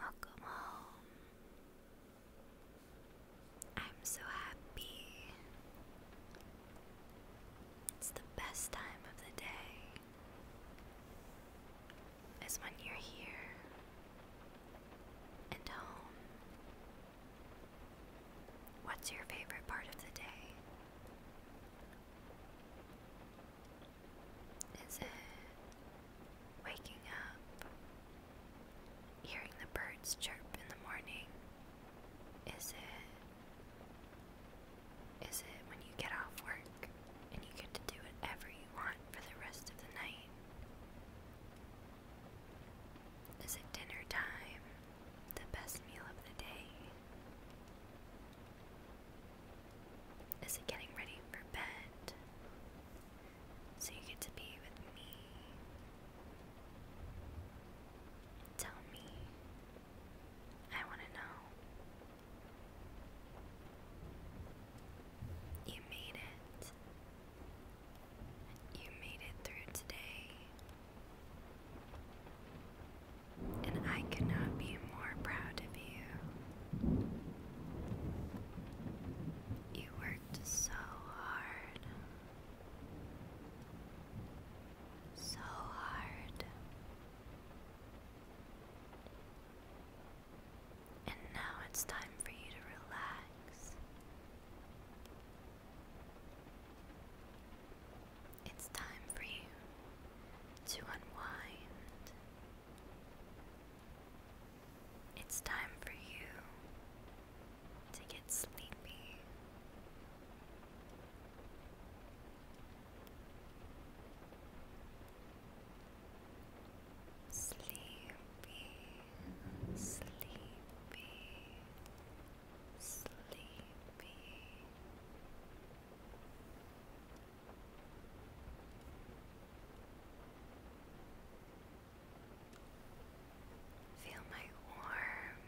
Welcome home. I'm so happy. It's the best time of the day, is when you're here and home. What's your favorite part of the day? Is it waking up, hearing the birds chirp in the morning? Is it is it when you get off work and you get to do whatever you want for the rest of the night? Is it dinner time, the best meal of the day? Is it getting ready for bed? So you get to be with me. Tell me. I want to know. You made it. You made it through today. And I could be more proud of you. You worked so hard. So hard. And now it's time for you to relax. It's time for you to unwind it's time for you to get sleepy. Sleepy, sleepy, sleepy, Feel my warm,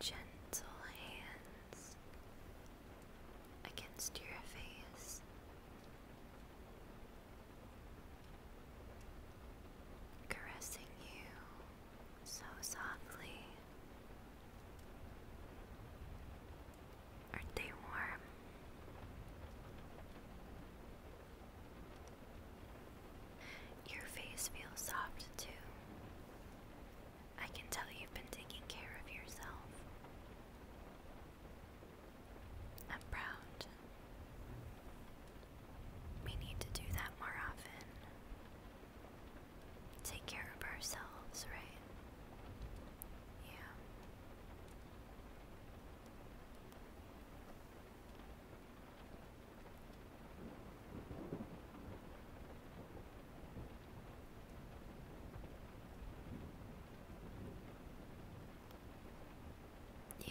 gentle hands against your face. Caressing you so softly Aren't they warm? Your face feels soft too. I can tell you've been taking care of yourself. I'm proud. We need to do that more often take care of ourselves, right? Yeah.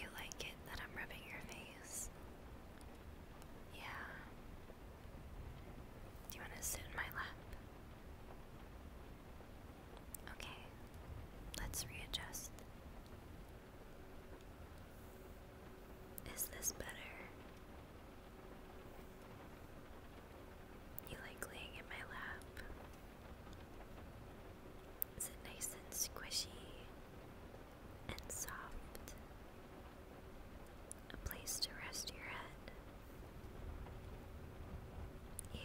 You like it that I'm rubbing your face? Yeah. Do you want to sit in my lap? Okay. Let's readjust. Is this better? You like laying in my lap? Is it nice and squishy and soft? a place to rest your head. Yeah.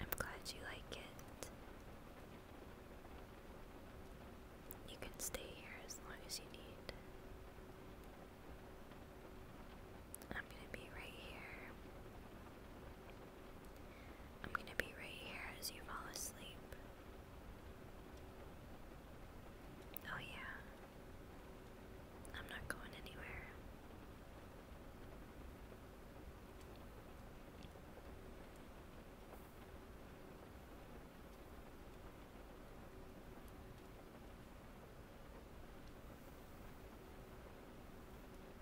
I'm glad you like it. You can stay here as long as you need. I'm going to be right here I'm going to be right here as you fall asleep. Oh, yeah. I'm not going anywhere.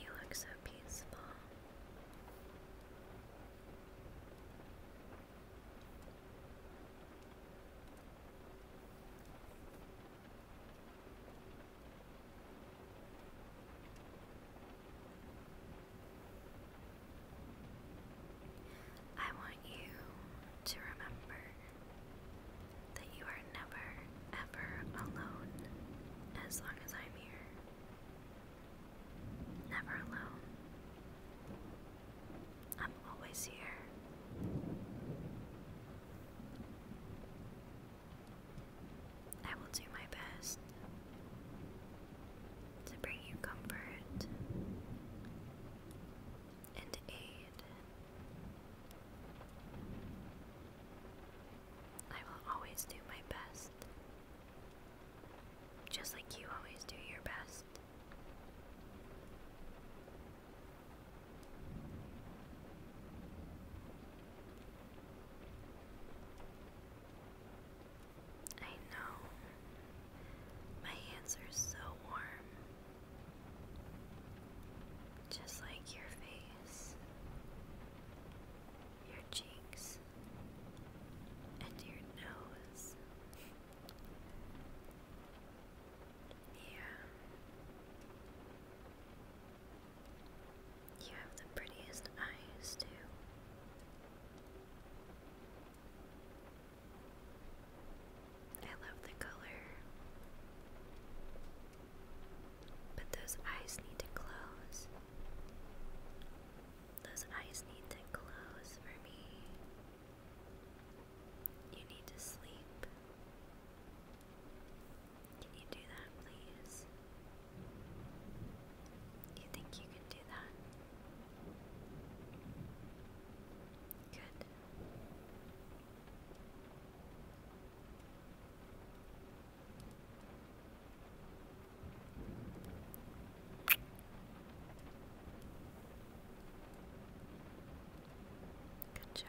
You look so peaceful. I want you to remember that you are never, ever alone as long as I'm here. Never alone. I'm always here. I will do my best to bring you comfort and aid. I will always do my best, just like you always do your best. I know my hands are so warm. Just like your face, your cheeks, and your nose. yeah. You have the prettiest eyes, too. I love the color. But those eyes need to close. Those eyes need to close for me. You need to sleep. Can you do that, please? You think you can do that? Good. Good job.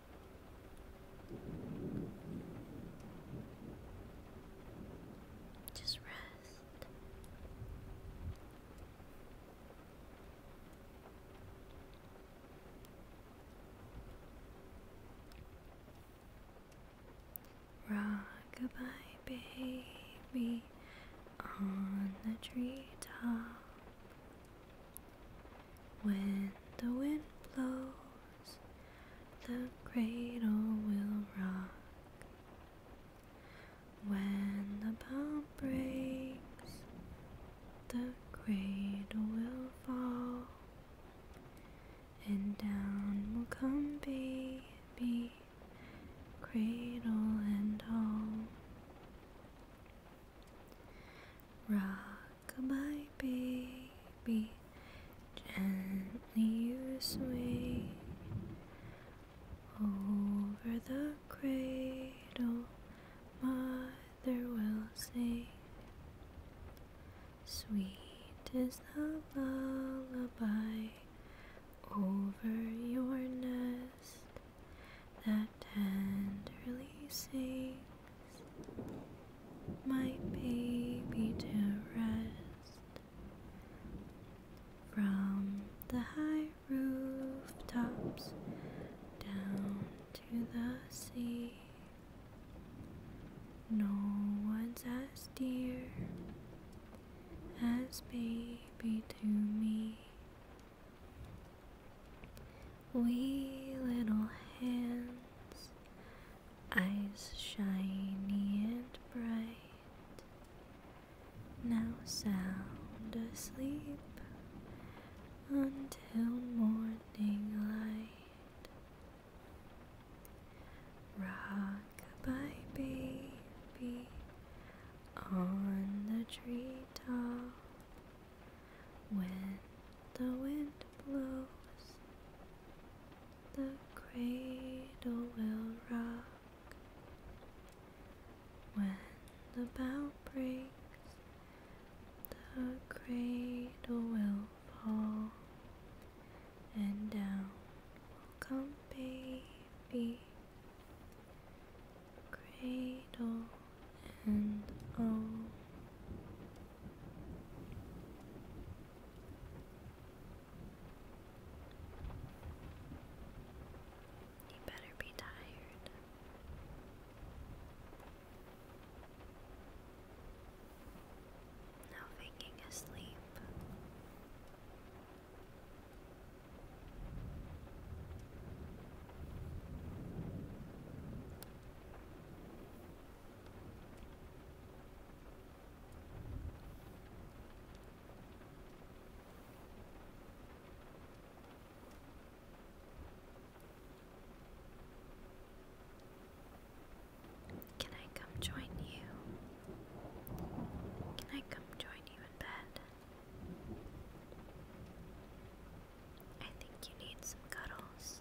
Just rest. Rock baby, on the treetop. When the wind blows, the cradle will rock. When the palm breaks, the cradle will fall. And down will come baby, cradle and all. Rockabye baby, gently you sway over the cradle. Mother will sing. sweet is the lullaby over your nest that Tenderly and my baby to rest from the high rooftops down to the sea. No one's as dear as baby to me. Wee little hands, eyes shiny and bright, now sound asleep until morning light. Rock by baby on the tree top. When the wind blows, the cradle will rock. When the bow breaks, the cradle will fall, and down will come baby cradle and all. You better be tired. Now faking asleep. Can I come join you? Can I come join you in bed? I think you need some cuddles.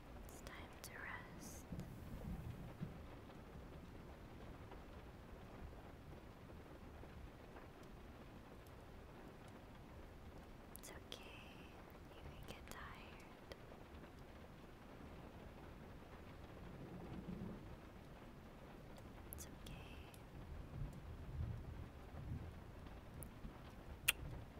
It's time to rest. It's okay, you can get tired. It's okay.